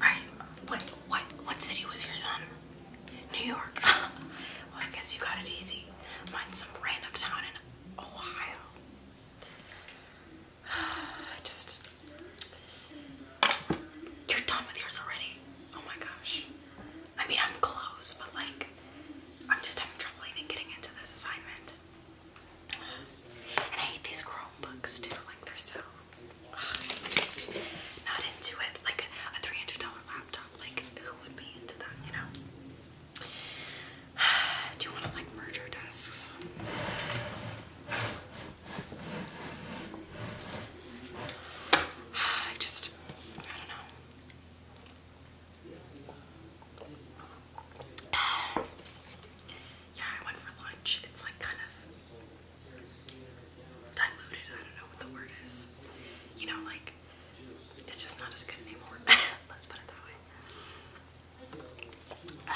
Alright, what what what city was yours on? New York. well I guess you got it easy. Mine's some random town in Ohio. just You're done with yours already. Oh my gosh. I mean I'm close, but like I'm just having trouble even getting into this assignment. And I hate these Chromebooks too, like they're so I'm just not into it. Like a three hundred dollar laptop, like who would be into that, you know? Do you want to like merge our desks? I just, I don't know. Yeah, I went for lunch. It's like kind of diluted. I don't know what the word is. You know, like it's just not as good anymore. Let's put it that way.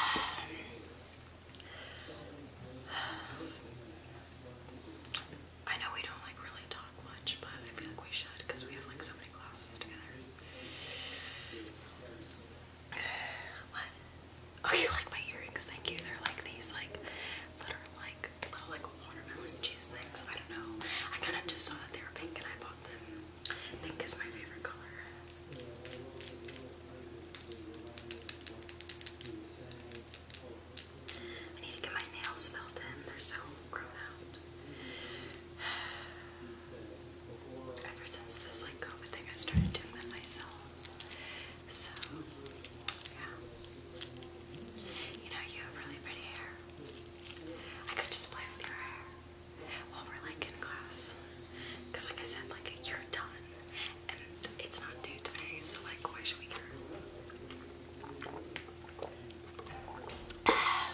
I know we don't like really talk much, but I feel like we should because we have like so many classes together. What? Oh, you like my earrings? Thank you. They're like these, like little, like little, like watermelon juice things. I don't know. I kind of just saw that they were pink, and I bought them. Pink is my favorite color. I need to get my nails filled in. They're so grown out. Ever since this like COVID thing, I started doing them myself. So, yeah. You know, you have really pretty hair. I could just play with your hair while we're like in class. Because, like I said, like you're done. And it's not due today, so like, why should we care? I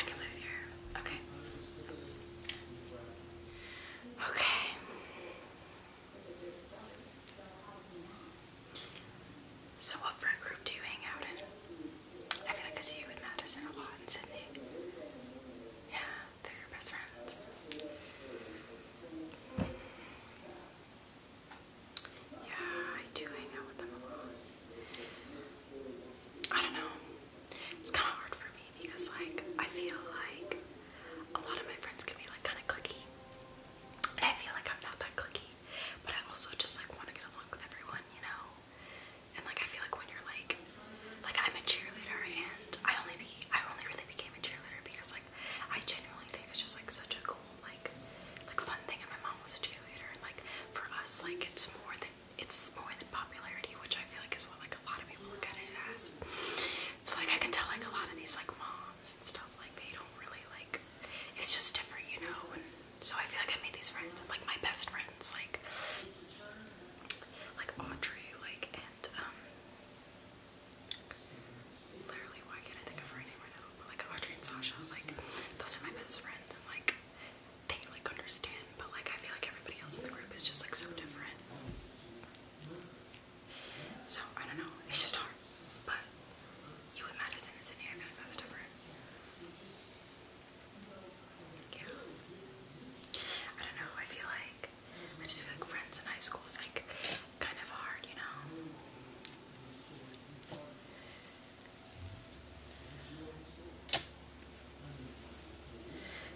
can play with your hair. Okay. Okay. So what friend group do you hang out in? I feel like I see you with Madison a lot in Sydney. Yeah, they're your best friends. Yeah, I do hang out with them a lot. I don't know. It's kind of hard for me because like I feel like a lot of my friends can be like kind of clicky, I feel like I'm not that clicky, but I also just like want to get along with everyone, you know. And like I feel like when you're like, like I'm a cheerleader, and I only be I only really became a cheerleader because like I genuinely think it's just like such a cool like like fun thing, and my mom was a cheerleader, and like for us like it's more than it's more than popularity, which I feel like is what like a lot of people look at it as. So like I can tell like a lot of these like moms and stuff like they don't really like it's just different, you know. so I feel like I made these friends and like my best friends like like Audrey like and um literally why can't I think of her name right now? But like Audrey and Sasha like those are my best friends and like they like understand but like I feel like everybody else in the group is just like so different. So I don't know. It's just hard. But you with Madison is in here. that's different. Yeah. I don't know. I feel like I just feel like friends in high school is like kind of hard, you know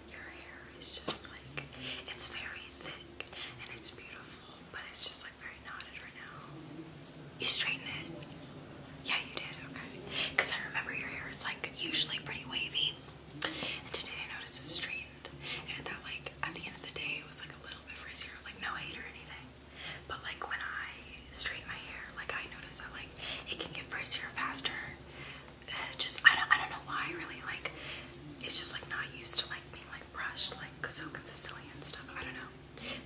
your hair is just like it's very thick and it's beautiful, but it's just like very knotted right now. You straighten it? Yeah, you did. Okay, because I remember your hair is like usually pretty wavy, and today I noticed it's straightened, and that like at the end of the day it was like a little bit frizzier. Like no hate or anything, but like when I straighten my hair, like I notice that like it can get frizzier faster. Uh, just I don't I don't know why really like it's just like not used to like like being like brushed, like so consistently and stuff. I don't know.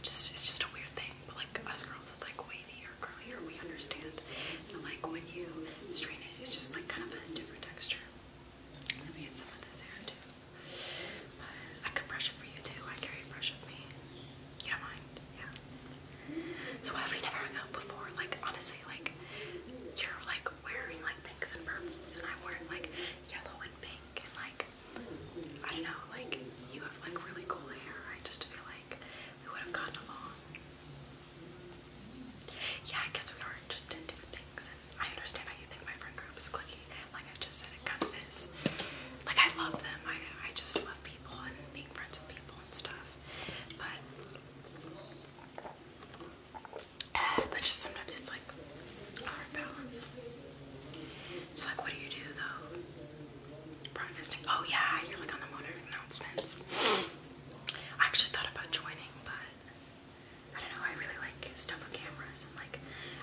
Just it's just a weird thing. But like us girls with like wavy or curly hair, we understand. And like when you strain it, it's just like kind of a different texture. Let me get some of this hair too. I could brush it for you too. I carry a brush with me. You don't mind? Yeah. So have we never hung out before? Like honestly, like you're like wearing like pinks and purples, and I wanted like yellow and pink, and like I don't know, like you have like really cool hair. I just feel like we would have gotten along. Yeah, I guess we are interested in different things, and I understand how you think my friend group is clicky. Like I just said, it kind of is. Like I love them. I I just love people and being friends with people and stuff. But but just sometimes it's like out balance. So like, what do you do though? Broadcasting. Oh yeah, you're like on the motor announcements. I actually thought about joining, but I don't know. I really like stuff with cameras and like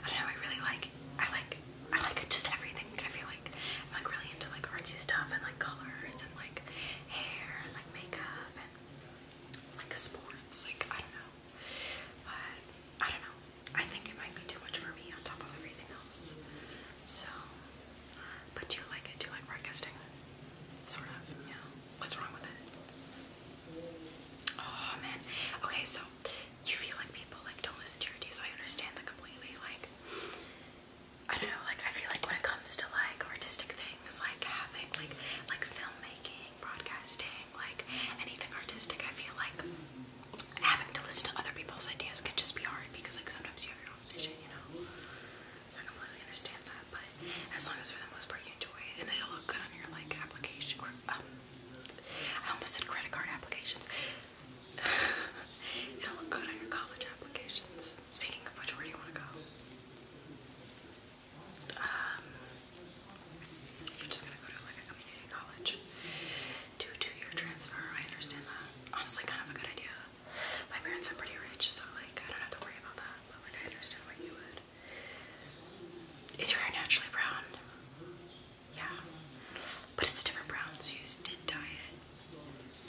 I don't know. I really like I like I like just everything. I feel like I'm like really into like artsy stuff and like colors and like hair and like makeup and like sports parents. Like, I don't know. But, I don't know. I think it might be too much for me on top of everything else. So, but do you like it? Do you like broadcasting? Sort of, yeah. What's wrong with it? Oh, man. Okay, so you feel like people, like, don't listen to your ideas. I understand that completely. Like, I don't know, like, I feel like when it comes to, like, artistic things, thing like having like like filmmaking, broadcasting, like anything artistic. I feel like having to listen to other people's ideas can just be hard because like sometimes you have your own vision, you know. So I completely understand that, but as long as for the most part you enjoy it and it'll look good on your like application um, I almost said credit card applications. it'll look good on your college applications. Speaking of which, where do you want to go? Um, you're just gonna go to like a community college, do two-year transfer. I understand that. Honestly, kind of a good idea. My parents are pretty rich, so like I don't have to worry about that. But I understand why you would. Is your hair naturally brown? Yeah, but it's a different brown. So you did dye it.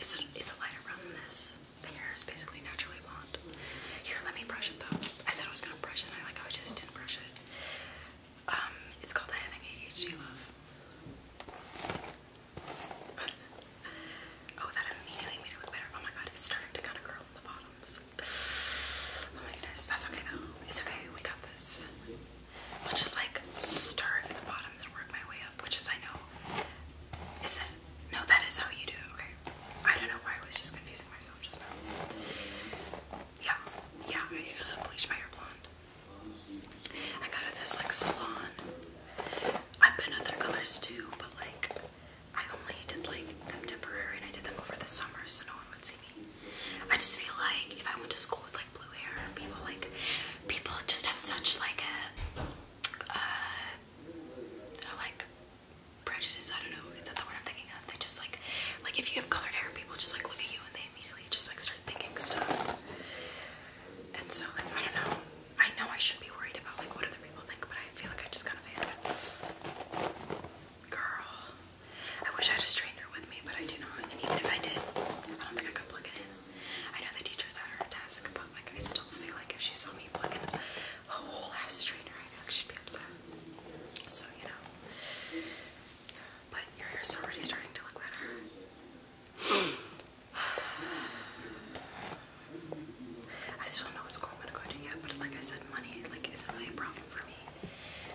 It's it's a lighter brown than this. The hair is basically naturally blonde not. Here, let me brush it though. I said I was gonna brush it, and I like I just didn't brush it. Um, it's called Having ADHD Love. oh, that immediately made it better. Oh my god, it's starting to kind of curl at the bottoms. Oh my goodness, that's okay though. It's okay, we got this. I'll just like start at the bottoms and work my way up, which is I know. Is that no? That is how you do. Okay, I don't know why I was just confusing myself just now. Yeah, yeah, uh, bleached my hair blonde. I got at this like salon. I've been other colors too, but like I only did like them temporary and I did them over the summer so no one would see me. I just feel like if I went to school with like blue hair, people like people just have such like a uh, like prejudice. I don't know. Is that the word I'm thinking of? They just like, like if you have colored hair, people just like look at you and they immediately just like start thinking stuff. And so like I don't know. I know I shouldn't be worried about like what other people think, but I feel like I just kind of am. Girl, I wish I had a straightener with me, but I do not. And even if I did, I don't think I could plug it in. I know the teacher's at her desk, but like I still feel like if she saw me plugging in a whole ass straightener, I feel like she'd be upset. So, you know. But your hair's already starting to look better. I still don't know what gonna go to yet, but like I said, money like isn't really a problem for me.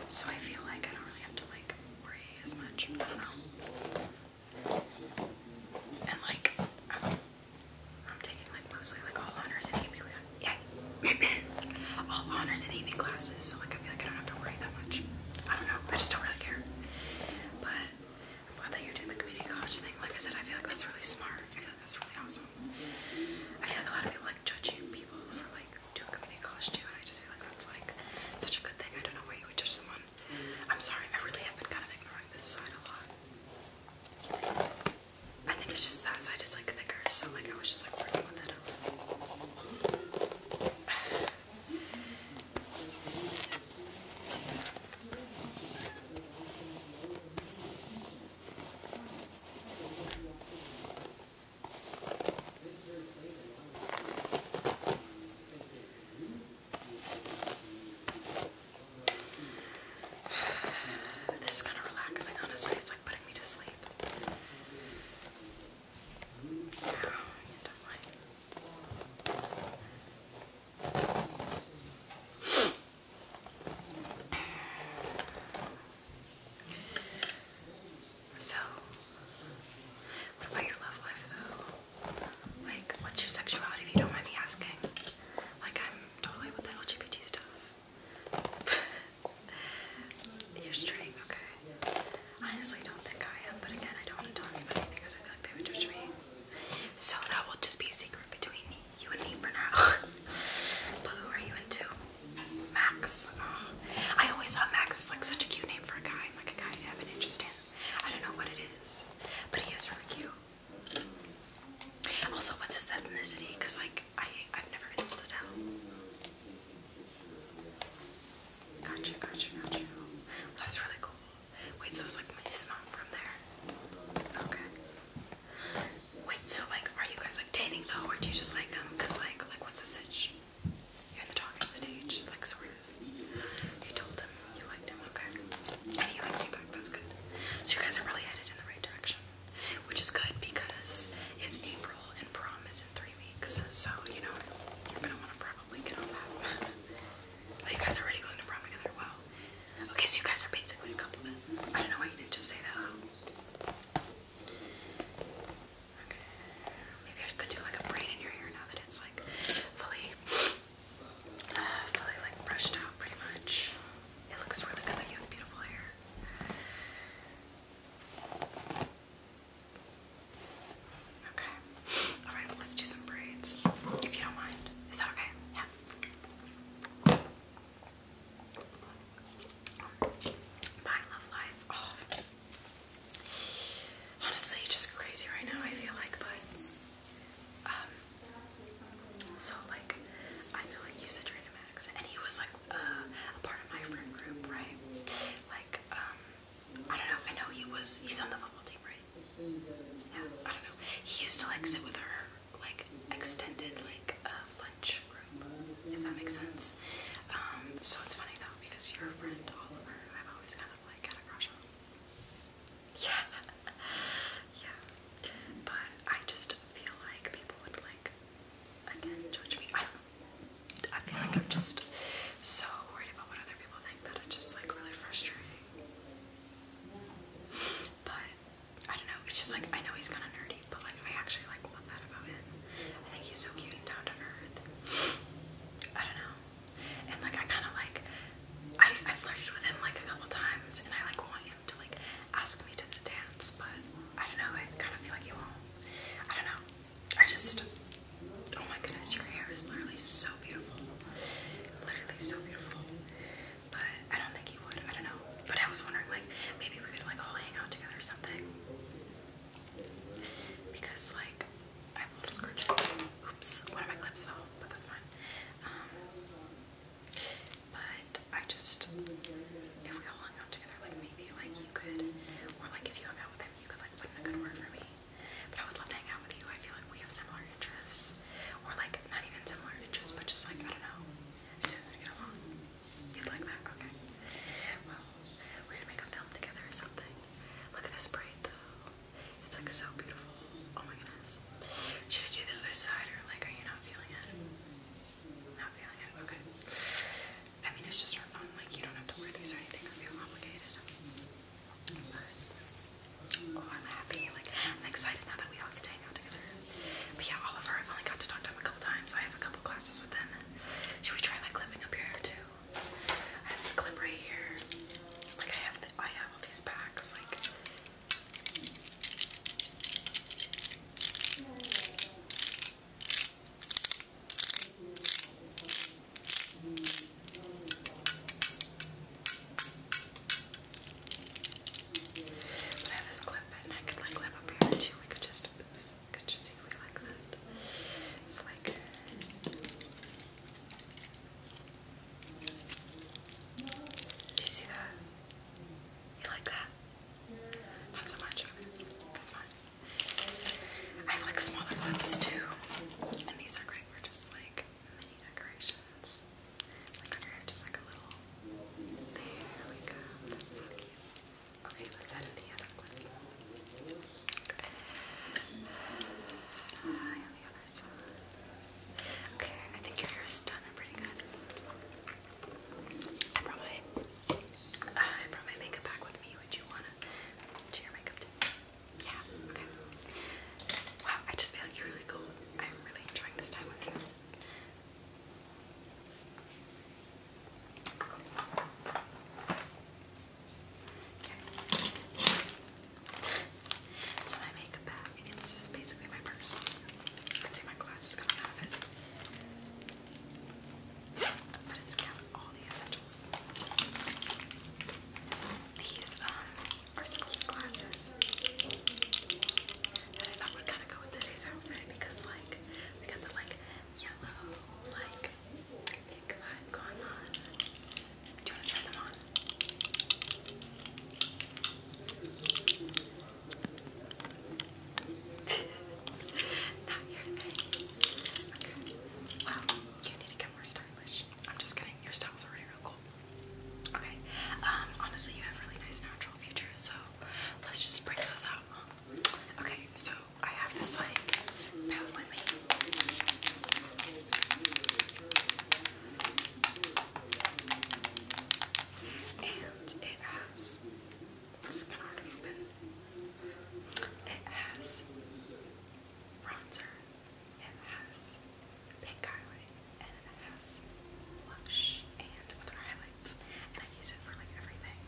So I feel like I don't really have to like worry as much. I don't know. And like I'm I'm taking like mostly like all honors and AP yeah all honors and AP classes, so like I feel like I don't have to worry that much. I don't know, I just don't really care. But I'm glad that you're doing the community college thing. Like I said, I feel like that's really smart. I feel like that's really awesome. I feel like a lot of people like judging people for like doing community college too, and I just feel like that's like such a good thing. I don't know why you would judge someone. I'm sorry, I really have been kind of ignoring this side a lot. I think it's just that side is like thicker, so like I was just like working with it. This is kind of relaxing, honestly putting me to sleep. so, what about your love life though? Like, what's your sexuality if you don't mind me asking? Like, I'm totally with the LGBT stuff. You're straight, okay. I honestly don't think I am, but again, I don't want to tell anybody because I feel like they would judge me. So that will just be a secret between you and me for now. but who are you into? Max. Uh, I always thought Max is like such a cute name for a guy, like a guy I have an interest in. I don't know what it is, but he is really cute. Also, what's his ethnicity? Because like I I've never been able to tell. Gotcha, gotcha, gotcha. That's really cool. Wait, so it's like his from there. Okay. Wait, so like, are you guys like dating though, or do you just like them? Um, Cause like, like what's the sitch? You're in the stage, like sort of. You told him you liked him, okay. And he likes you back. That's good. So you guys are really headed in the right direction which is good because it's April and prom is in three weeks. So you know you're gonna want to probably get on that. oh, you guys are already going to prom together. Wow. Okay, so you guys are basically a couple. I don't know why you didn't just say that. Okay. Maybe I could do like a braid in your hair now that it's like fully, fully like brushed out pretty much. It looks really good you have beautiful hair. Okay. All right, let's do some braids, if you don't mind. Is that okay? Yeah. My love life. Oh. Honestly, just crazy right now, I feel like, but, um, so, like, I know, like, you said you and he was, like, uh, a part of my friend group, right? Like, um, I don't know. I know he was. He's on the football team, right? Yeah. I don't know. He used to like sit with her, like extended like uh, lunch group, if that makes sense. Um, so it's funny though because your friend Oliver, I've always kind of like had a crush on. Yeah. yeah. But I just feel like people would like Again, judge me. I don't. I feel like I'm just so worried about what other people think that it's just like really frustrating. But I don't know. It's just like I know he's kind of nerdy, but like I actually like love that about him. I think he's so cute and down to earth. I don't know. And like I kind of like I I flirted with him like a couple times, and I like want him to like ask me to the dance, but I don't know. I kind of feel like he won't. I don't know. I just. Oh my goodness, your hair is literally so beautiful. Literally so beautiful. But I don't think he would. I don't know. But I was wondering, like, maybe we could like all hang out together or something. Because like I have a little scratch. Oops, one of my clips fell, but that's fine. Um, but I just, if we all hung out together, like maybe like you could, or like if you hung out with him, you could like put in a good word for me. But I would love to hang out with you. I feel like we have similar interests, or like not even similar interests, but just like I don't know, soon we get along. You'd like that, okay? Well, we could make a film together or something. Look at this braid though. It's like so beautiful. Oh my goodness. Should I do the other side or like are you not feeling it? Not feeling it. Okay. I mean, it's just fun. Like, you don't have to wear these or anything or feel obligated. oh, I'm happy. Like, I'm excited now that we all get to hang out together. But yeah, Oliver, I've only got to talk to him a couple times. I have a couple classes with him. Should we try like clipping up your hair too? I have the clip right here. Like, I have the, I have all these packs. Like. But I have this clip and I could like live up here too. We could just oops, we could just see if we like that. It's like do you see that? You like that? Not so much. Okay. That's fine. I have like smaller lips too. And these are great for just like mini decorations. Like under just like a little. There we go. Okay, let's add in uh, the other side. Okay, I think your hair is done and pretty good. I brought my uh, I brought my makeup back with me. Would you wanna do your makeup too? Yeah. Okay. Wow. I just feel like you're really cool. I'm really enjoying this time with you. Okay. So my makeup bag, it's just basically my purse. You can see my glasses coming out of it. But it's got all the essentials. These um, are some cute glasses that I thought would kind of go with today's outfit because, like, we got the like yellow, like pink vibe going on. Do you want to try them on? Wow, you need to get more stylish. I'm just kidding. Your style's already real cool. Okay. Um, honestly, you have really nice natural features, so let's just bring those out. Okay, so I have this like palette with me. And it has it's kind to open. It has bronzer, it has pink highlight, and it has blush and other highlights. And I use it for like everything.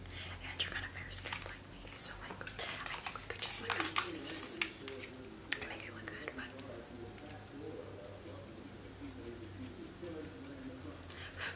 And you're kind of fair skinned like me, so like I think we could just like use this to make it look good, but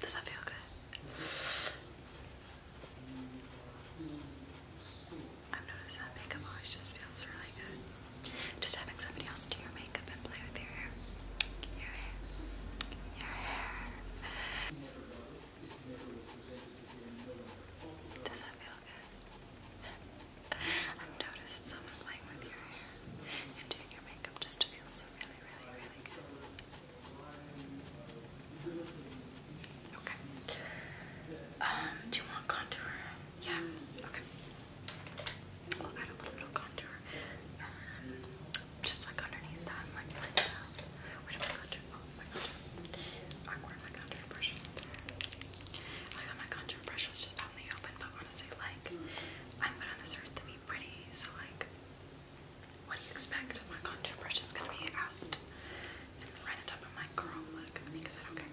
Does that feel good? I've noticed that makeup always just feels really good. Just having somebody else do your makeup and play with your hair. Your hair. Your hair. Does that feel good? I've noticed someone playing with your hair and doing your makeup just to feel also really, um, do you want contour? Yeah. Okay. We'll add a little bit of contour. Um, just like underneath that, like like that. Oh, my contour. Awkward, my contour brush. I got my contour brush was just out the open, but honestly, like, I'm good on this The pretty, so like, what do you expect? My contour brush is gonna be out right on top of my curl look because I don't care.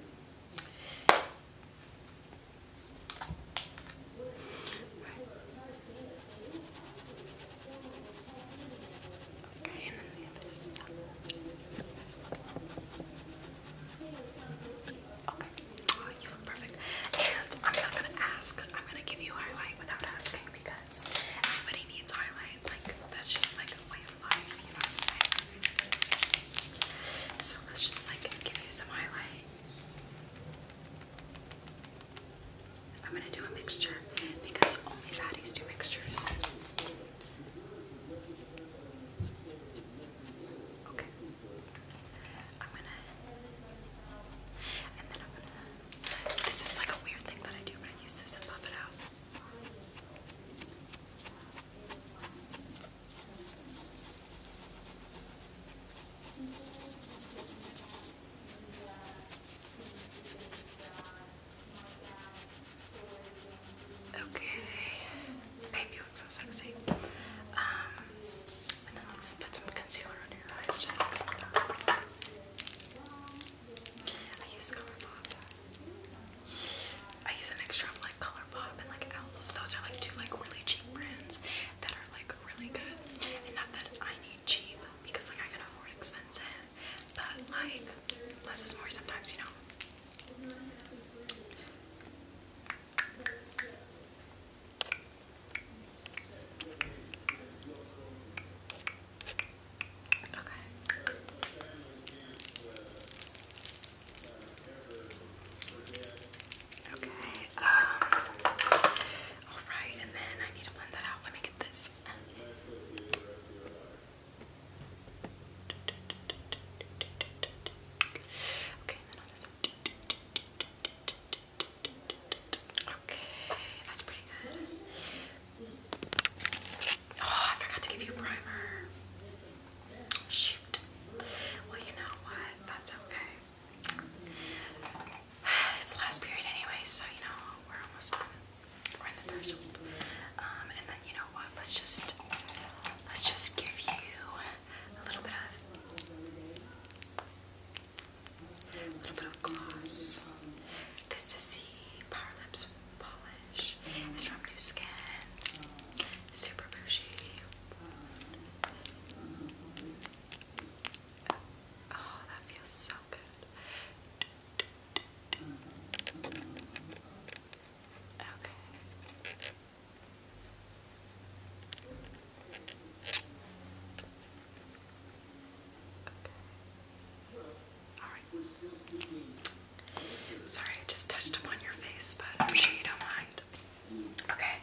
Okay, and then the other stuff. Okay. Oh, you look perfect. And I'm not gonna ask. I'm gonna give you highlight without asking because everybody needs highlight. Like that's just like a way of life. You know what I'm saying? So let's just like give you some highlight. I'm gonna do a mixture because only fatties do mixtures. Okay. I'm gonna, and then I'm gonna, this is like a weird thing that I do, but I use this and puff it out. Okay, babe, you look so sexy. Um, and then let's put some concealer under your eyes, just like some dots. I use Color I use a mixture of like Color and like Elf. Those are like two like really cheap brands that are like really good. And not that I need cheap because like I can afford expensive, but like less is more sometimes, you know. Okay, um, alright, and then I need to blend that out. Let me get this. Okay, Okay, that's pretty good. Oh, I forgot to give you primer. Shoot. Well, you know what? That's okay. It's the last period anyway, so you know, we're almost done. We're in the threshold. Um, and then you know what? Let's just let's just give you a little bit of a little bit of gloss. This is the Power Lips Polish. It's from New Skin. Super bougie. Oh, that feels so good. Okay. Alright. Sorry, I just touched upon your face, but I'm sure you don't mind. Okay.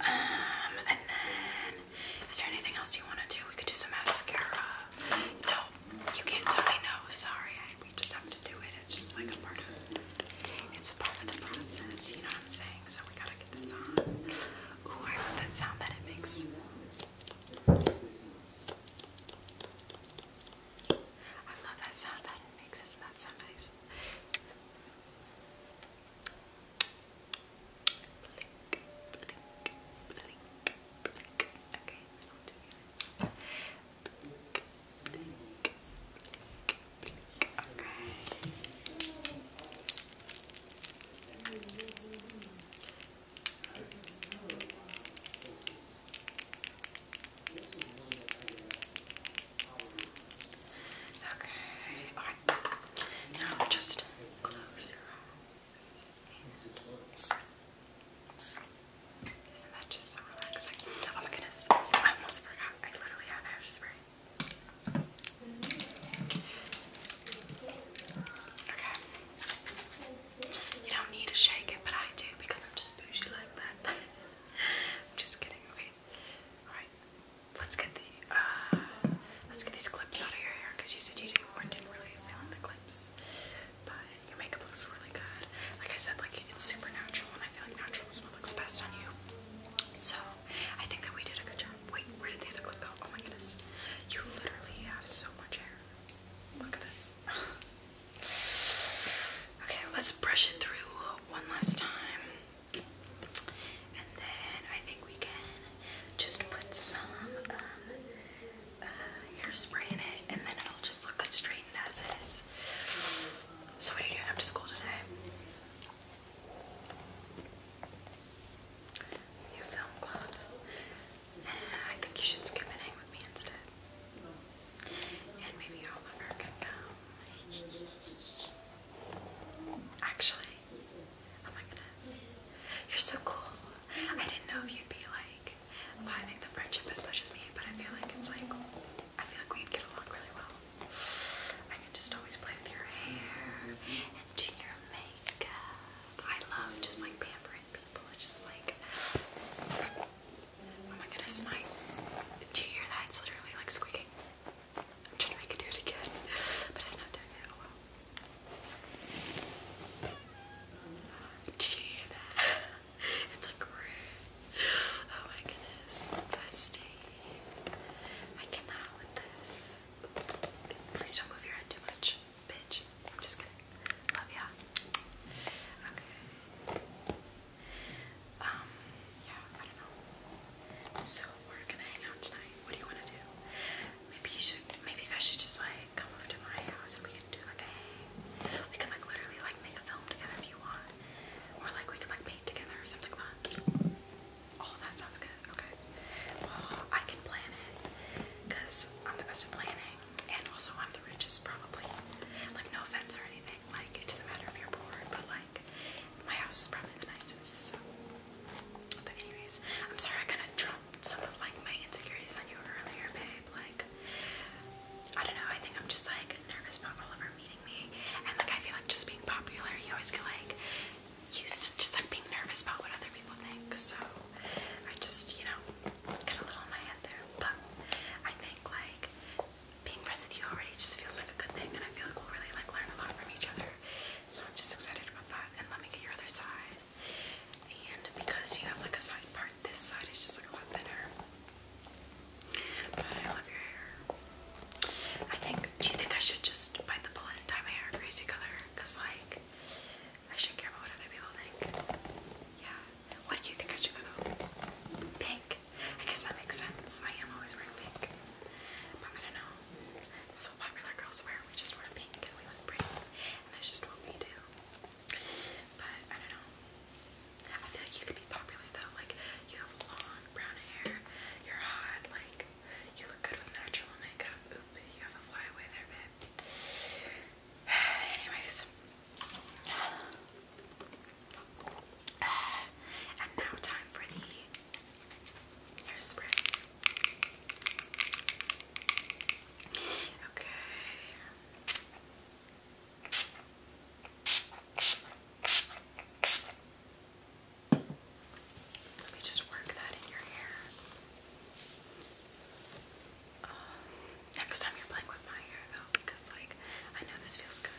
Um, and then is there anything else you want to do? We could do some mascara. No, you can't tell me no. Sorry, we just have to do it. It's just like a part of. It's a part of the process. You know what I'm saying? so we gotta get this on. Ooh, I love that sound that it makes. I love that sound that it makes. that so nice? Blink, blink, blink, blink. Okay, Blink, blink, blink, blink. Okay. Alright. Now just close your eyes. Isn't that just so relaxing? Oh my goodness. I almost forgot. I literally have hair Okay. You don't need to shake it, but I do because I'm just bougie like that. I'm just kidding. Okay. All right. Let's get the uh, let's get these clips out of your hair because you said you didn't, weren't didn't really feeling the clips. But your makeup looks really good. Like I said, like it's super natural, and I feel like natural is what looks best on you. So I think that we did a good job. Wait, where did the other clip go? Oh my goodness. You literally have so much hair. Look at this. okay, let's brush it through one last time. And then I think we can just put some um, uh, in it and then it'll just look good straightened as is. So what are you doing after school today? Your film club. I think you should skip and hang with me instead. And maybe Oliver can come. Actually, oh my goodness. You're so cool. I didn't know if you'd be like vibing the friendship as much as me, but I feel like it's like, I feel like we'd get along really well. I can just always play with your hair and do your makeup. I love just like pampering people. It's just like, oh my goodness, my. Do you hear that? It's literally like squeaking. I'm trying to make it do it again, but it's not doing it. Oh well. Did you hear that? it's like Oh my goodness. Bestie. I cannot with this. Please don't move your head too much, bitch. I'm just kidding. Love ya. Okay. Um, yeah, I don't know. So we're gonna hang out tonight. What do you wanna do? Maybe you should maybe you guys should just like come over to my house and we can do like a hang. We could like literally like make a film together if you want. Or like we could like paint together or something Oh, that sounds good. Okay. Well, I can plan it because I'm the best at planning, and also I'm the richest probably. Like, no offense or anything. Like, it doesn't matter if you're poor, but like, my house is probably the nicest. So. But anyways, I'm sorry I kind of dropped some of like my insecurities on you earlier, babe. Like, I don't know. I think I'm just like nervous about Oliver meeting me, and like I feel like just being popular, you always get like used to just being nervous about what other people think, so I just, you know, got a little in my head there. But I think like being friends with you already just feels like a good thing, and I feel like we'll really like learn a lot from each other. So I'm just excited about that. And let me get your other side. And because you have like a side part, this side is just like a lot thinner. But I love your hair. I think, do you think I should just bite the bullet and dye my hair a crazy color? Because, like, I shouldn't care about what other people think. Yeah. What do you think I should go though? Pink. I guess that makes sense. I am always wearing pink. But I don't know. That's popular girls wear. We just wear pink and we look pretty. And that's just what we do. But I don't know. I feel like you could be popular though. Like, you have long brown hair, you're hot, like, you look good with natural makeup. Oop, you have a flyaway there, babe. Anyways. And now time for the hairspray. Okay. Let me just work that in your hair. Uh, next time you're playing with my hair though, because like I know this feels good.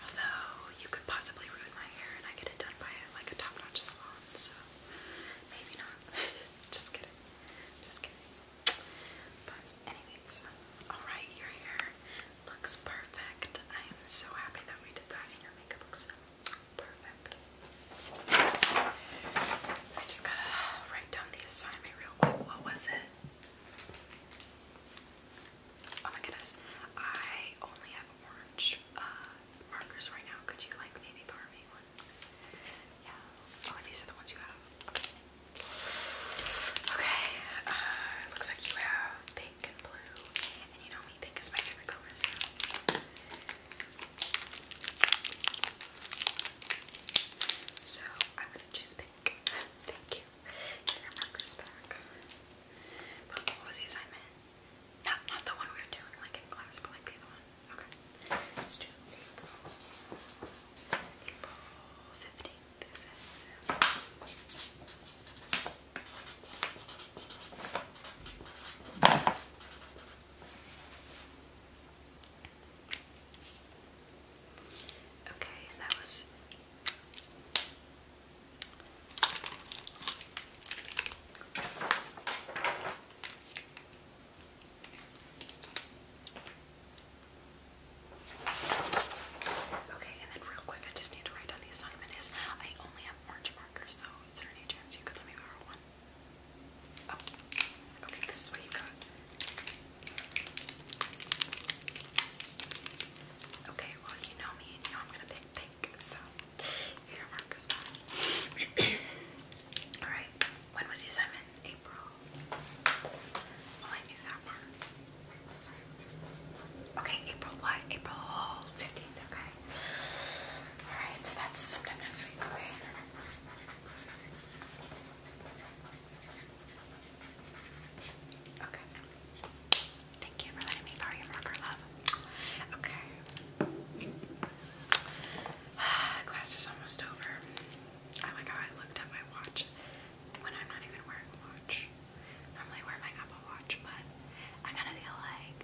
Although you could possibly ruin my hair and I get it done by like a top-notch salon, so maybe not. just kidding. Just kidding. But anyways, alright, your hair looks perfect. I am so happy that we did that and your makeup looks Perfect. I just gotta write down the assignment real quick. What was it? Oh my goodness. I only have orange uh, markers right now. Could you like maybe borrow me one? Yeah. Oh, these are the ones you have. Okay. Uh, looks like you have pink and blue you know me, pink is my favorite color, so. I'm choose pink. Thank you. your markers back. what was the assignment? Not, not the one we were doing, like in class, but like the other one. Okay. April. April 15th, is it? Okay, and that was Okay, and then real quick, I just need to write down the assignment is I only have orange markers, so is there any chance you could let me borrow one? Oh, okay, this is what you got. Okay, well, you know me, you know I'm gonna pick pink, so your mark Alright, when was the assignment? April. Well, I knew that part. Okay, April what? April 15th, okay. Alright, so that's sometime next week, okay? Okay. Thank you for letting me borrow your marker, love. Okay. Class is almost over. I like how I looked at my watch when I'm not even wearing a watch. Normally wear my Apple Watch, but I kind of feel like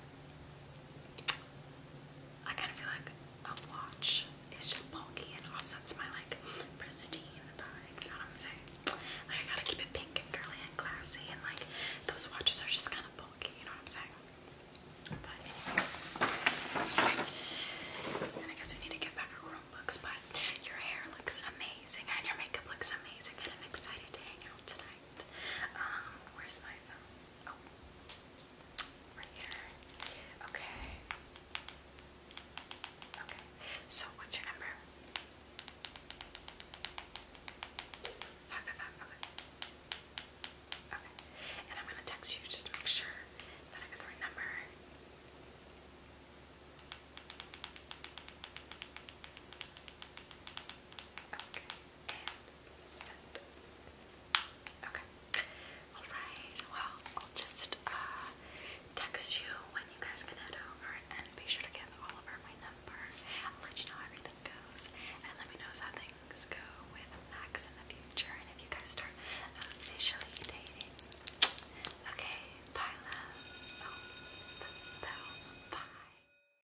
I kind of feel like a watch is just bulky and offsets my like pristine vibe. You know what I'm saying? I gotta keep it pink and girly and classy, and like those watches are just kind of bulky. You know what I'm saying? But anyways, I guess we need to get back our room books. But your hair looks amazing, and your makeup looks amazing, and I'm excited to hang out tonight right. Um, where's my phone? Oh, right here. Okay. Okay. So, what's your number? Five five five. Okay. Okay. And I'm gonna text you just to make sure that I got Okay and Okay. Alright, well, I'll just uh, text you when you guys can head over and be sure to give Oliver my number. I'll let you know how everything goes and let me know how things go with Max in the future and if you guys start officially dating. Okay, bye love. bye. Oh,